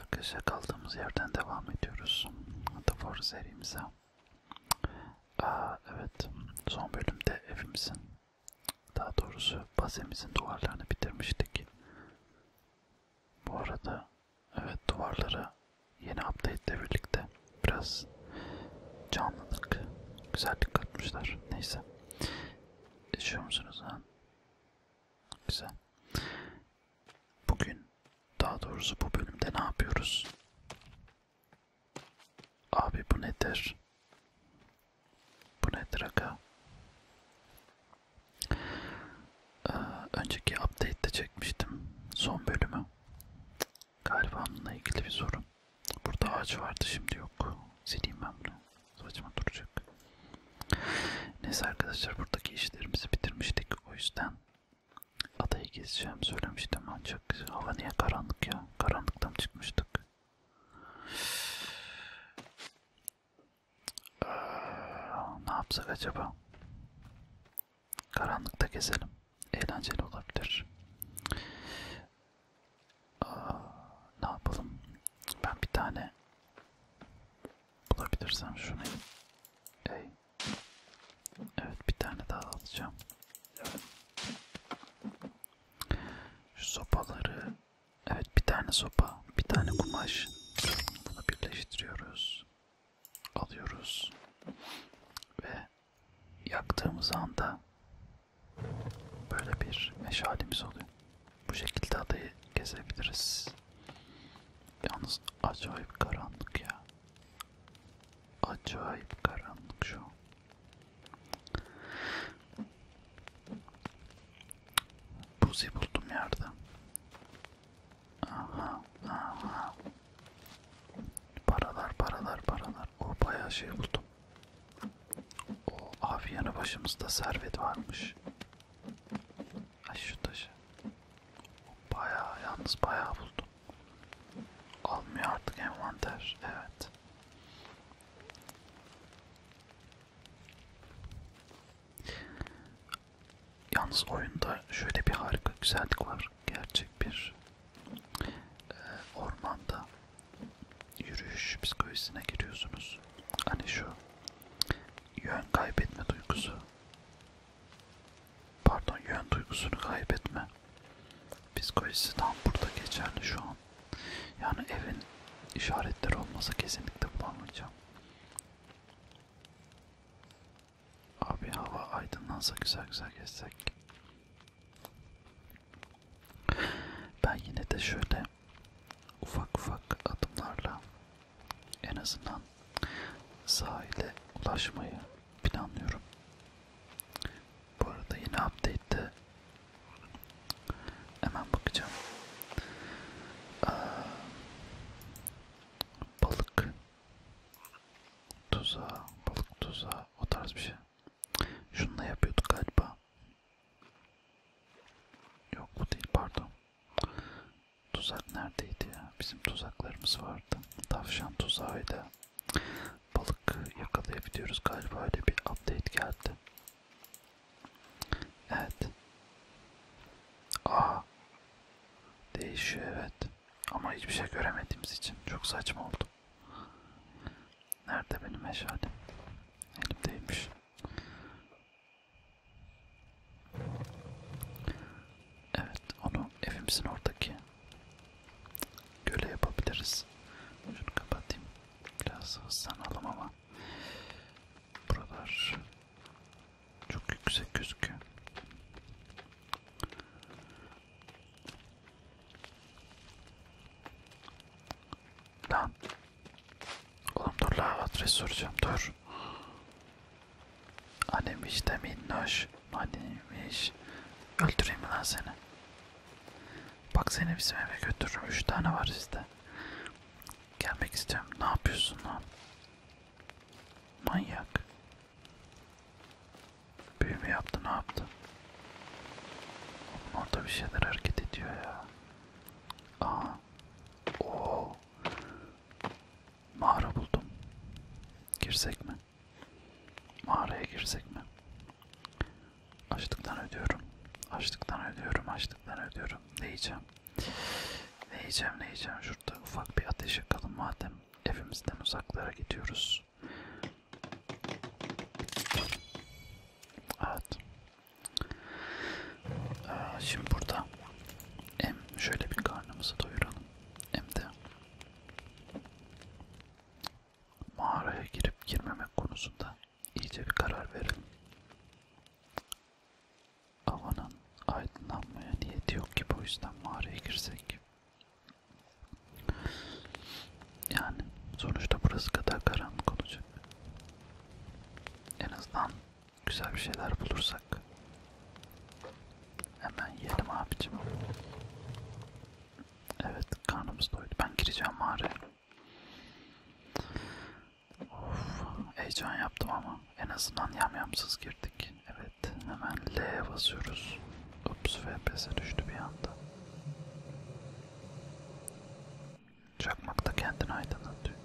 Arkadaşlar kaldığımız yerden devam ediyoruz. The Force serimize. Aa, evet, son bölümde evimizin, daha doğrusu bazemizin duvarlarını bitirmiştik. Bu arada, evet duvarları yeni update ile birlikte biraz canlılık, güzellik katmışlar. Neyse, yaşıyor musunuz lan? Güzel. Bugün daha doğrusu bu bölümde ne yapıyoruz? Abi bu nedir? Bu nedir aga? Ee, önceki update'de çekmiştim son bölümü. Galiba bununla ilgili bir sorun. Burada ağaç vardı şimdi yok. Sileyim ben bunu. Saçma duracak. Neyse arkadaşlar buradaki işlerimizi bitirmiştik. O yüzden adayı gezeceğim söylemiştim ancak hava niye karanlık ya? Karanlıktan çıkmıştık. Ee, ne yapsak acaba? Karanlıkta gezelim. Eğlenceli olabilir. Ee, ne yapalım? Ben bir tane Bulabilirsem şunu. Ey. Evet bir tane daha alacağım. Şu sopaları. Evet bir tane sopa. Bir tane kumaş. Bunu birleştiriyoruz. Alıyoruz. Ve yaktığımız anda böyle bir meşalimiz oluyor. Bu şekilde adayı gezebiliriz. Yalnız acayip karanlık ya. Acayip karanlık şu. Buzi buldum yerde. Aha, aha. Paralar, paralar, paralar. O bayağı şey buldum. O abi yanı başımızda servet varmış. Ay şu taşı. Bayağı yalnız bayağı buldum. Almıyor artık envanter. Evet. Yalnız oyunda şöyle bir harika güzellik var. Gerçek bir e, ormanda yürüyüş psikolojisine giriyorsunuz. Hani şu yön kaybetme duygusu. Pardon yön duygusunu kaybetme. Psikolojisi tam burada geçerli şu an. Yani evin işaretleri olmasa kesinlikle bulamayacağım. Abi hava aydınlansa güzel güzel gezsek. Ben yine de şöyle ufak ufak adımlarla en azından sahile ulaşmayı planlıyorum. Bu arada yine update'te hemen bakacağım. Ee, balık tuzağı, balık tuzağı o tarz bir şey. Şunu da yapıyorduk galiba. Yok bu değil pardon. Tuzak neredeydi ya? Bizim tuzaklarımız vardı. Tavşan tuzağıyla balık yakalayabiliyoruz galiba öyle bir update geldi. Evet. Aa. Değişiyor evet. Ama hiçbir şey göremediğimiz için çok saçma oldu. Nerede benim meşalem? Elimdeymiş. Evet, onu evimizin oradaki göle yapabiliriz. Şunu kapatayım. Biraz hızlanalım ama buralar çok yüksek gözüküyor. Lan Oğlum dur la adres soracağım dur. Annemiş de minnoş. Annemiş. Öldüreyim mi lan seni? Bak seni bizim eve götürürüm. Üç tane var sizde. Gelmek istiyorum. Ne yapıyorsun lan? Manyak. Büyü mü yaptı ne yaptı? Oğlum orada bir şeyler hareket ediyor ya. Aha. Oo. Mağara buldum. Girsek mi? Mağaraya girsek mi? Açlıktan ödüyorum. Açlıktan ödüyorum. Açlıktan ödüyorum. Ne yiyeceğim? Ne yiyeceğim? Ne yiyeceğim? Şurada ufak bir ateş yakalım madem. Evimizden uzaklara gidiyoruz. Evet. Ee, şimdi burada hem şöyle bir karnımızı doyuralım hem de mağaraya girip girmemek konusunda iyice bir karar verelim. Havanın aydınlanmaya niyeti yok ki bu yüzden mağaraya girsek. Yani sonuçta burası kadar karanlık olacak. En azından Güzel bir şeyler bulursak hemen yiyelim abicim. Evet karnımız doydu. Ben gireceğim mağaraya. Of, heyecan yaptım ama en azından yamyamsız girdik. Evet hemen L'ye basıyoruz. Ups VPS'e düştü bir anda. Çakmak da kendini aydınlatıyor.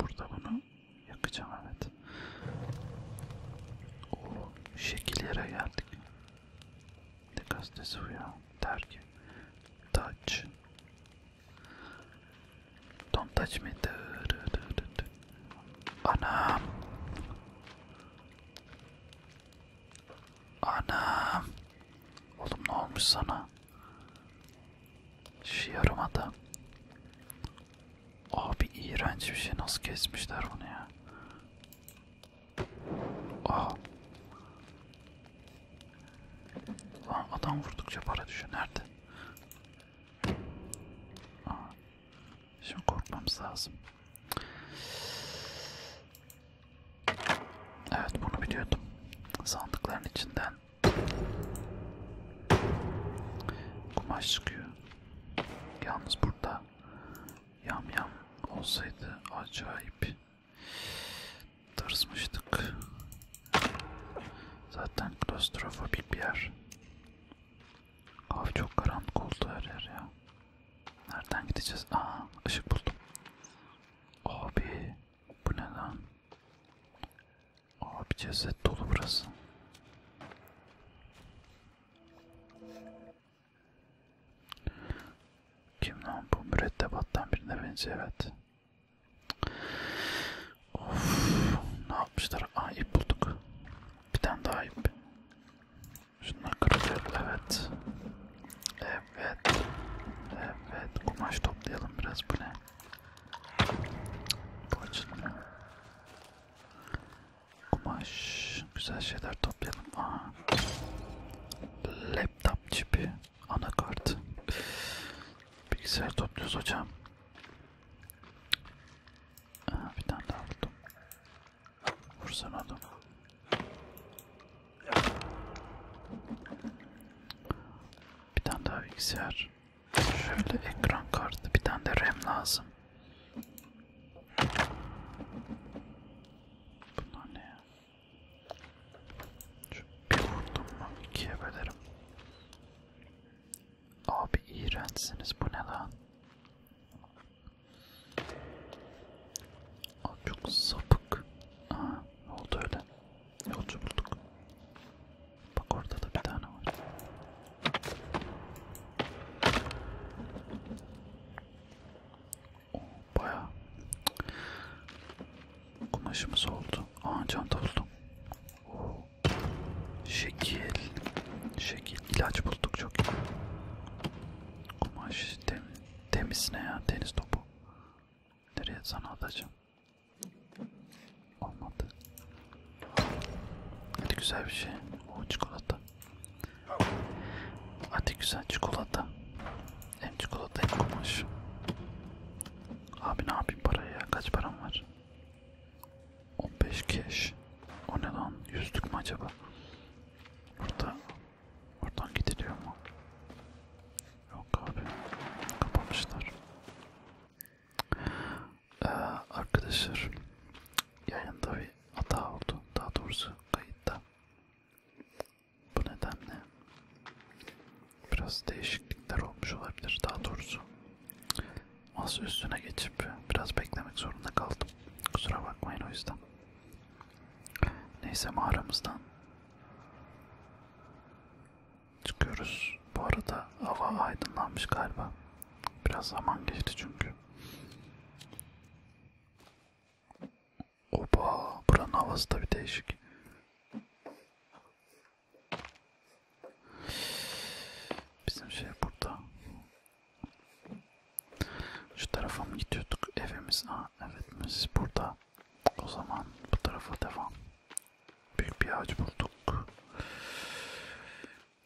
Burada bunu yakacağım evet. O şekil yere geldik. Ne gazetesi bu ya? Dergi. Touch. Don't touch me. Anam. Anam. Oğlum ne olmuş sana? Şu yarım adam. Abi iğrenç bir şey. Nasıl kesmişler bunu ya? Aa. Ah. Lan adam vurdukça para düşüyor. Nerede? Aa. Ah. Şimdi korkmamız lazım. Evet bunu biliyordum. Sandıkların içinden kumaş çıkıyor. Yalnız burada yam yam olsaydı acayip tırsmıştık. Zaten klostrofobik bir yer. Abi çok karanlık oldu her yer ya. Nereden gideceğiz? Aa ışık buldum. Abi bu ne lan? Abi ceset dolu burası. Kim lan bu mürettebattan birine benziyor evet. Of ne yapmışlar? Aa ip bulduk. Bir tane daha ip. Şundan kırılıyor evet. E, Evet. Evet. Kumaş toplayalım biraz. Bu ne? Bu açılmıyor. Kumaş. Güzel şeyler toplayalım. Aha. Laptop çipi. Anakart. Bilgisayar topluyoruz hocam. Aha, bir tane daha buldum. Vursan adam. Bir tane daha bilgisayar. Şöyle ekran kartı. Bir tane de RAM lazım. Bunlar ne ya? Şu bir vurdum mu ikiye bölerim. Abi iğrençsiniz. Bu ne lan? Aa, çok sapık. Aha, oldu öyle. Yolcu bulduk. Bak orada da bir tane var. Oo, bayağı kumaşımız oldu. Aa çanta buldum. Oo. Şekil. Şekil. ilaç bulduk çok iyi. Kumaş tem, temiz ne ya? Deniz topu. Nereye sana atacağım? Olmadı. Hadi güzel bir şey. O çikolata. Hadi güzel çikolata. Hem çikolata hem kumaş. Abi ne yapayım parayı ya? Kaç param var? 15 keş. O ne lan? Yüzlük mü acaba? Burada Oradan gidiliyor mu? Yok abi. Kapamışlar. Ee, arkadaşlar yayında bir hata oldu. Daha doğrusu kayıtta. Bu nedenle biraz değişiklikler olmuş olabilir. Daha doğrusu masa üstüne geçip biraz beklemek zorunda kaldım. Kusura bakmayın o yüzden. Neyse mağaramızdan Çıkıyoruz. Bu arada hava aydınlanmış galiba. Biraz zaman geçti çünkü. Oba buranın havası da bir değişik. Bizim şey burada. Şu tarafa mı gidiyorduk? Evimiz. Aa, nöbetimiz burada. O zaman bu tarafa devam. Büyük bir ağaç bulduk.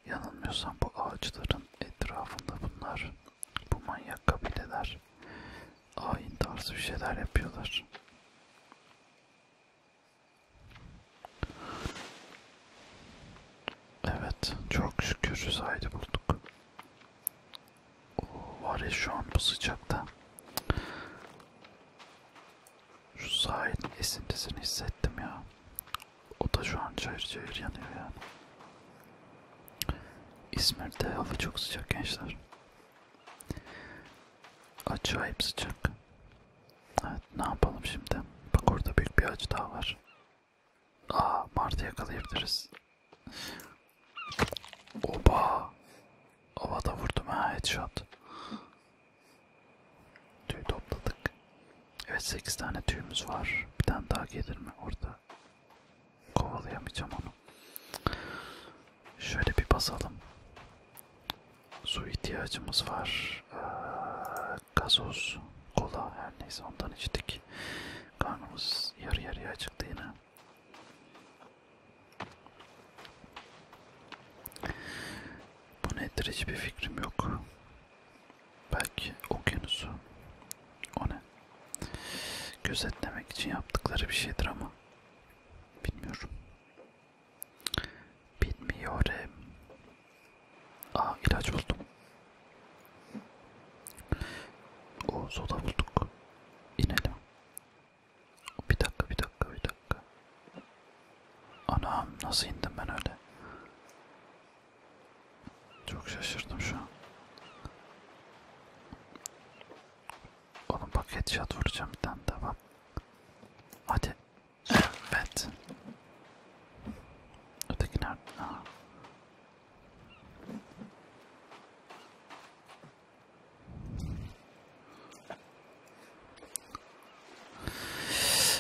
Yanılmıyorsam bu ağaçların etrafında bunlar bu manyak kabileler ayin tarzı bir şeyler yapıyorlar. Evet, çok şükür Zahid'i bulduk. Oo, var ya şu an bu sıcakta. Şu sahilin esintisini hissettim ya. O da şu an çayır çayır yanıyor yani. İzmir'de hava çok sıcak gençler. Acayip sıcak. Evet ne yapalım şimdi? Bak orada büyük bir ağaç daha var. Aa Martı yakalayabiliriz. Oba. Havada vurdum ha headshot. Tüy topladık. Evet 8 tane tüyümüz var. Bir tane daha gelir mi orada? Kovalayamayacağım onu. Şöyle bir basalım. Su ihtiyacımız var. Ee, gazoz, kola her neyse ondan içtik. Karnımız yarı yarıya acıktı yine. Bu nedir hiçbir fikrim yok. Belki okyanusu. O ne? Gözetlemek için yaptıkları bir şeydir ama. Bilmiyorum. Bilmiyorum. Aa ilaç buldum. O soda bulduk. İnelim. Bir dakika bir dakika bir dakika. Anam nasıl indim ben öyle? Çok şaşırdım şu an. Oğlum bak headshot vuracağım bir tane daha bak. Hadi. Evet. Öteki nerede? Aha.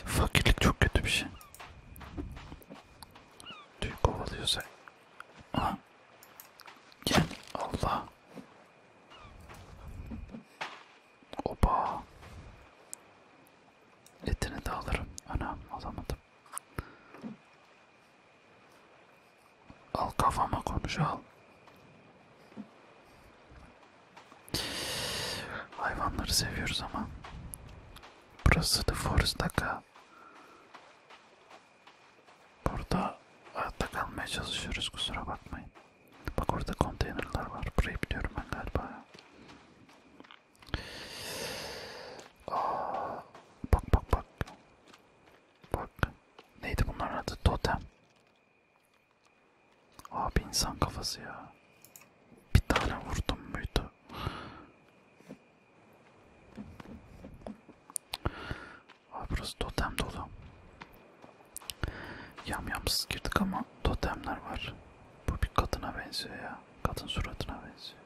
Fakirlik çok kötü bir şey. Tüy kovalıyorsa. Aha. Gel. Allah. Opa. Etini de alırım. Anam alamadım. Al kafama konuş al. Hayvanları seviyoruz ama. Burası The Forest Daka. Burada hayatta kalmaya çalışıyoruz kusura bakmayın. Bak orada konteynerlar var. Burayı biliyorum ben galiba. Aa, bak bak bak. Bak. Neydi bunların adı? Totem. Abi insan kafası ya. Bir tane vurdum muydu? Abi burası totem dolu. Yam yamsız girdik ama totemler var. Bu bir kadına benziyor ya. Kadın suratına benziyor.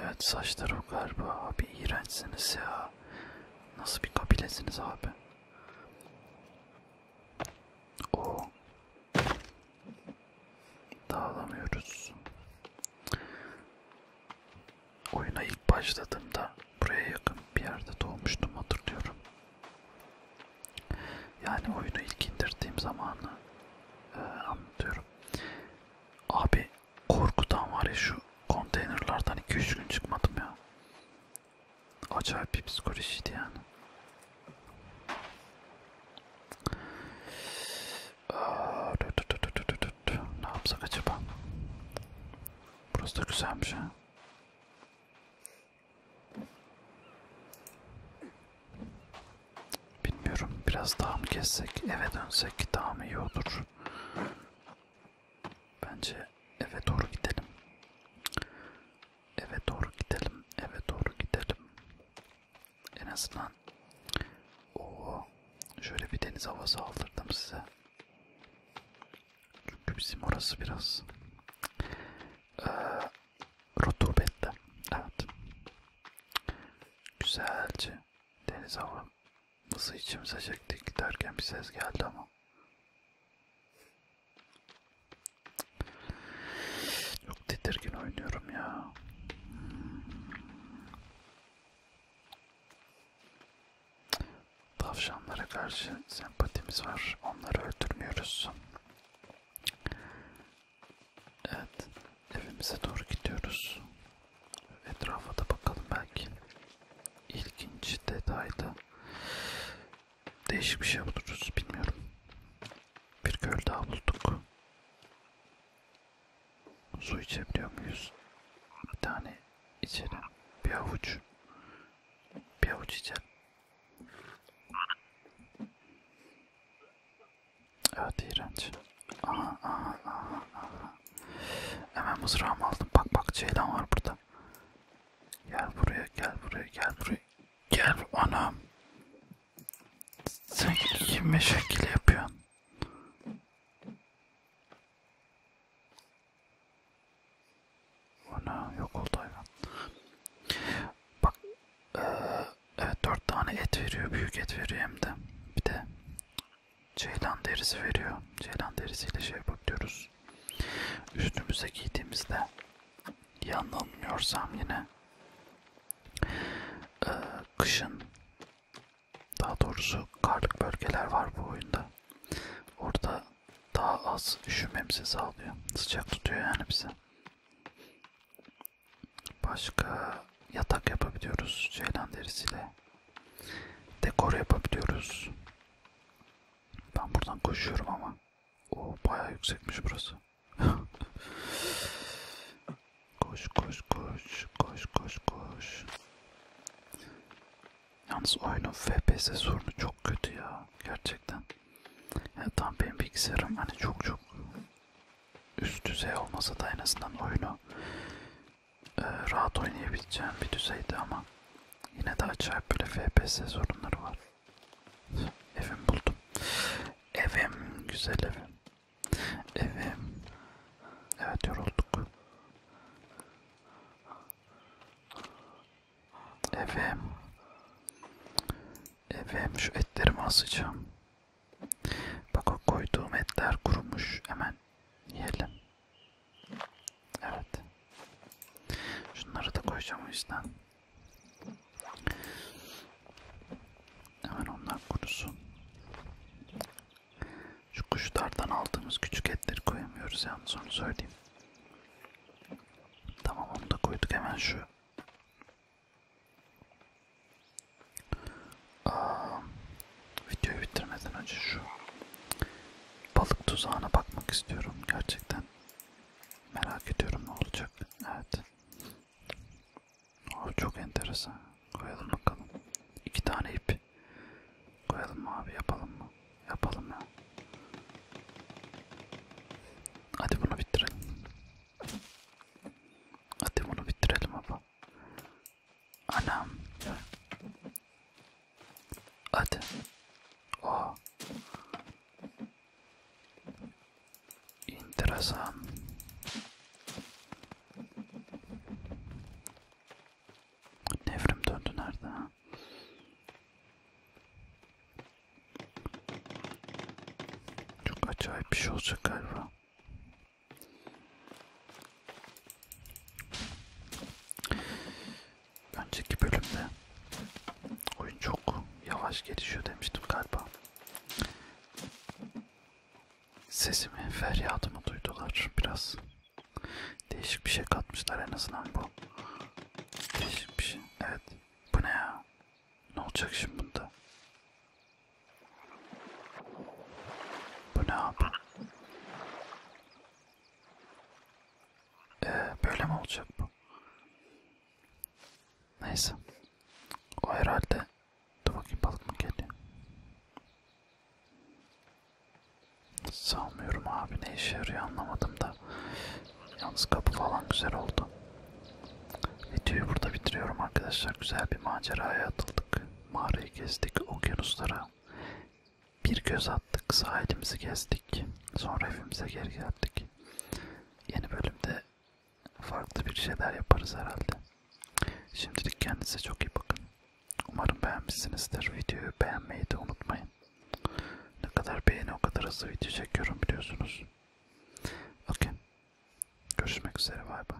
Evet saçları o galiba abi iğrençsiniz ya. Nasıl bir kabilesiniz abi? O dağılamıyoruz. Oyuna ilk başladığımda buraya yakın bir yerde doğmuştum hatırlıyorum. Yani oyunu ilk indirdiğim zamanı e, anlatıyorum. Abi Korkudan var ya şu konteynerlardan 2-3 gün çıkmadım ya. Acayip bir psikolojiydi yani. Aa, dü dü dü dü dü dü. Ne yapsak acaba? Burası da güzelmiş ha. Bilmiyorum biraz daha mı gezsek eve dönsek daha mı iyi olur? Bence eve doğru gidelim. Eve doğru gidelim. Eve doğru gidelim. En azından o şöyle bir deniz havası aldırdım size. Çünkü bizim orası biraz ee, rutubetli. Evet. Güzelce deniz hava Nasıl içimize çekti giderken bir ses geldi ama. Çok tedirgin oynuyorum ya. Tavşanlara karşı sempatimiz var. Onları öldürmüyoruz. Evet. Evimize doğru gidiyoruz. Etrafa da bakalım belki ilginç detaylı değişik bir şey buluruz bilmiyorum. Bir göl daha bulduk. Su içebiliyor muyuz? Bir tane içelim. Bir avuç. Bir avuç içelim. Evet iğrenç. Aha, aha, aha, aha. Hemen mızrağımı aldım. Bak bak ceylan var burada. Gel buraya gel buraya gel buraya. Gel anam. Sen kime şekil yapıyorsun? Ana yok oldu hayvan. Bak ee, evet dört tane et veriyor. Büyük et veriyor hem de. Bir de ceylan derisi veriyor. Ceylan derisiyle şey bakıyoruz. Üstümüze giydiğimizde yanılmıyorsam yine e, kışın daha doğrusu karlık bölgeler var bu oyunda. Orada daha az üşümemizi sağlıyor. Sıcak tutuyor yani bizi. Başka yatak yapabiliyoruz ceylan derisiyle dekor yapabiliyoruz. Ben buradan koşuyorum ama. O bayağı yüksekmiş burası. koş koş koş koş koş koş. Yalnız oyunun FPS sorunu çok kötü ya gerçekten. Yani tam benim bilgisayarım hani çok çok üst düzey olmasa da en azından oyunu e, rahat oynayabileceğim bir düzeyde ama yine de acayip böyle FPS sorunları var. evim buldum. Evim güzel evim. Evim. Evet yorulduk. Evim. Evim şu etlerimi asacağım. Bak o koyduğum etler kurumuş. Hemen yiyelim. Evet. Şunları da koyacağım o yüzden. Hemen onlar kurusun. Şu kuşlardan aldığımız küçük etleri koyamıyoruz yalnız onu söyleyeyim. Tamam onu da koyduk hemen şu Aa, videoyu bitirmeden önce şu balık tuzağına bakmak istiyorum. Gerçekten merak ediyorum ne olacak. Evet. O çok enteresan. Koyalım bakalım. İki tane ip. Koyalım mı abi yapalım mı? Yapalım ya. Hadi bunu bitirelim. Hadi bunu bitirelim abi. Anam. Hadi. Oha. Enteresan. Devrim döndü nerede ha? Çok acayip bir şey olacak galiba. Önceki bölümde oyun çok yavaş gelişiyor demiştim galiba. Sesimi, feryadımı duydular biraz. Değişik bir şey katmışlar en azından bu. Değişik bir şey. Evet. Bu ne ya? Ne olacak şimdi bunda? Bu ne abi? Ee, böyle mi olacak bu? Neyse. O herhalde. Dur bakayım balık mı geliyor? Sanmıyorum abi ne işe yarıyor anlamadım da. Yalnız kapı falan güzel oldu. Videoyu burada bitiriyorum arkadaşlar. Güzel bir maceraya atıldık. Mağarayı gezdik. Okyanuslara bir göz attık, sahilimizi gezdik. Sonra evimize geri geldik. Yeni bölümde farklı bir şeyler yaparız herhalde. Şimdilik kendinize çok iyi bakın. Umarım beğenmişsinizdir. Videoyu beğenmeyi de unutmayın. Ne kadar beğeni o kadar hızlı video çekiyorum biliyorsunuz. Okey. Görüşmek üzere. Bay bay.